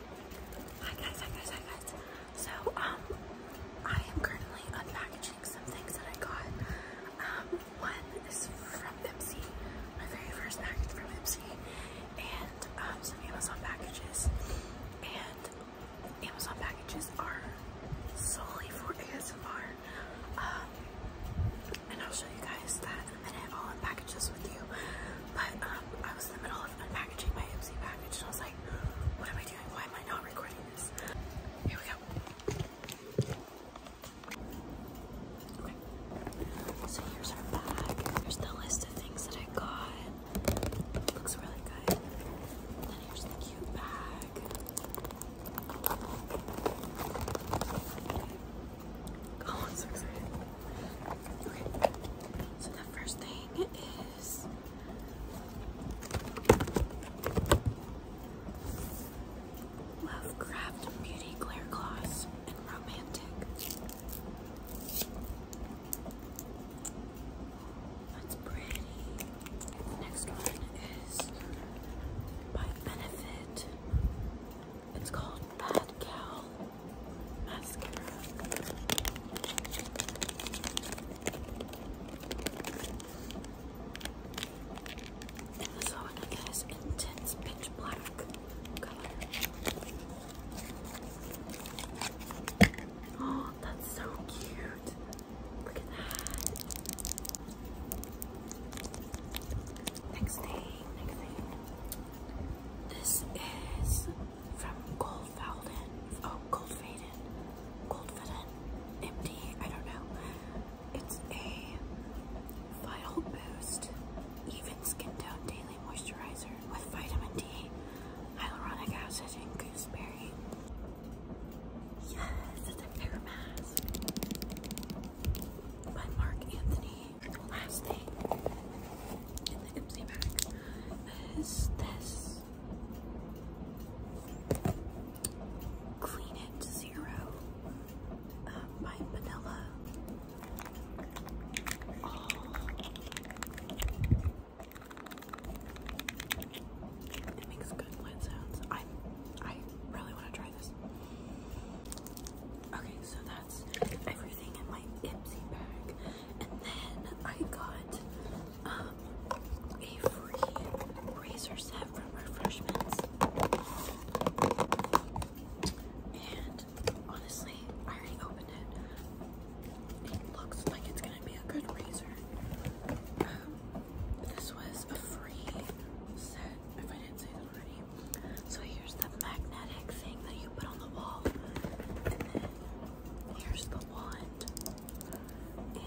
Hi guys, hi guys, hi guys. So, um, I am currently unpackaging some things that I got. Um, one is from Ipsy, my very first package from Ipsy, and um, some Amazon packages. And Amazon packages are solely for ASMR. Um, and I'll show you guys that in a minute. I'll unpackage this with you. But um, I was in the middle of unpackaging my Ipsy package and I was like, what am I doing? Why am I not recording this? Here we go. So here's our bag. Here's the list of things that I got. Looks really good. then here's the cute bag. Oh, I'm so the first thing is Lovecraft Beauty Glare Gloss and Romantic. That's pretty. next one is by Benefit. It's called Bad Cow mascara. And this intense pitch black Oh, that's so cute. Look at that. Next thing, This is from Goldfaden. Oh, Goldfaden. Goldfaden. MD. I don't know. It's a Vital Boost Even Skin Tone Daily Moisturizer with vitamin D, hyaluronic acid, and gooseberry. Yes, it's a fair mask by Mark Anthony last thing in the Ipsy bag is this Clean It Zero by Vanilla. It makes good blend sounds. I I really want to try this. Okay, so that's everything in my Ipsy bag. And then I got um, a free razor set from Refreshments. And honestly, I already opened it. It looks like it's gonna be a good razor. Um, this was a free set, if I didn't say that already. So here's the magnetic thing that you put on the wall. And then here's the wand. And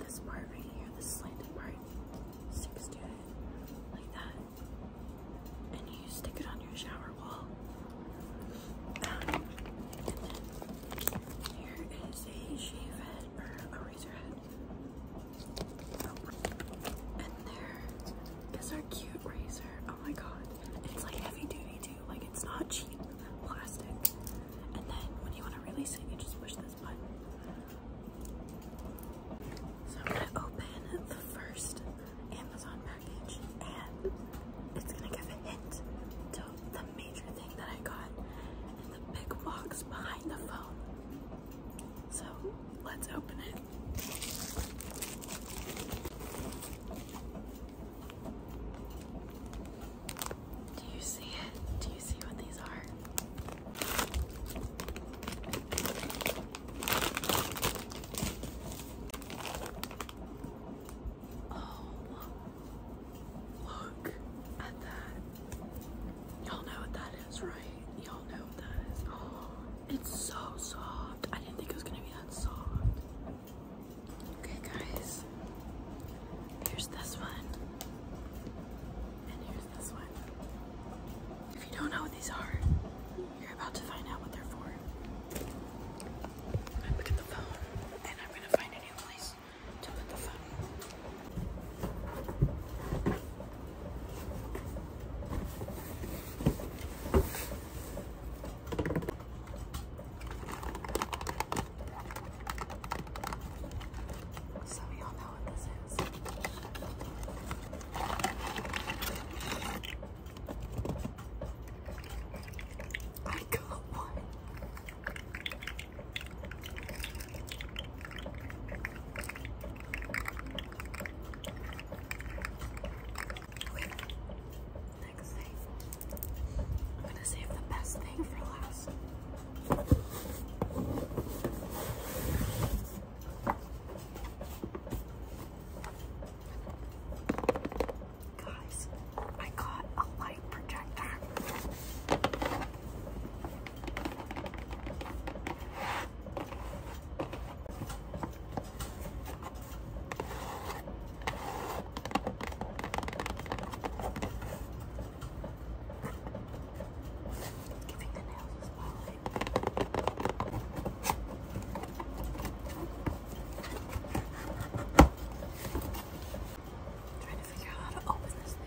this part right here, this slanted part, sticks to it like that. And you stick it on your shower wall. and then here is a shave head or a razor head. And there is our cute razor. Oh my god. It's like heavy duty too. Like it's not cheap plastic. And then when you want to release it, you just push this button. So I'm going to open the first Amazon package and it's going to give a hint to the major thing that I got in the big box behind the phone. So let's open it. Do you see it? Do you see what these are? Oh, look at that. Y'all know what that is, right? Y'all know what that is. Oh. It's so soft. I didn't think it was gonna be that soft. Okay, guys. Here's this one. And here's this one. If you don't know what these are, you're about to find out what they're for. I'm going at the phone and I'm gonna find a new place to put the phone. So we all know what this is. I got one. Next thing. I'm gonna save the best thing for last. Guys, I got a light projector. Giving the nails is Trying to figure out how to open this thing.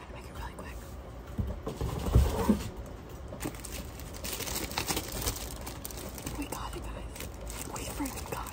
think I can make it really quick. We got it, guys. We freaking got it.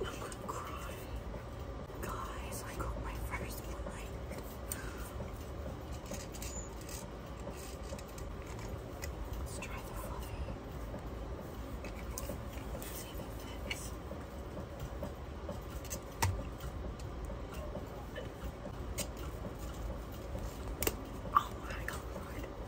I'm gonna cry. Guys, I got my first bite. Let's try the fluffy. See if it Oh my god.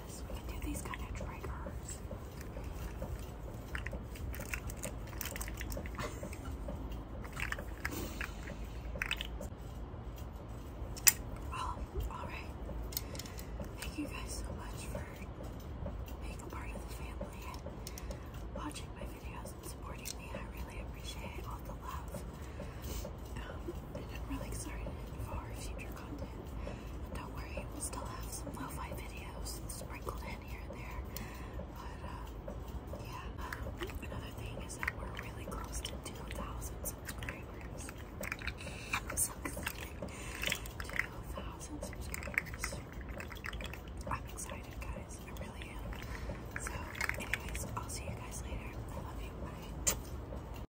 alright. Thank you guys so much for being a part of the family watching my videos and supporting me. I really appreciate all the love. I'm um, really excited for future content. don't worry, we'll still have some lo-fi videos sprinkled in here and there. But uh, yeah, um, another thing is that we're really close to 2,000 subscribers. I'm excited, guys. I really am. So, anyways, I'll see you guys later. I love you. Bye.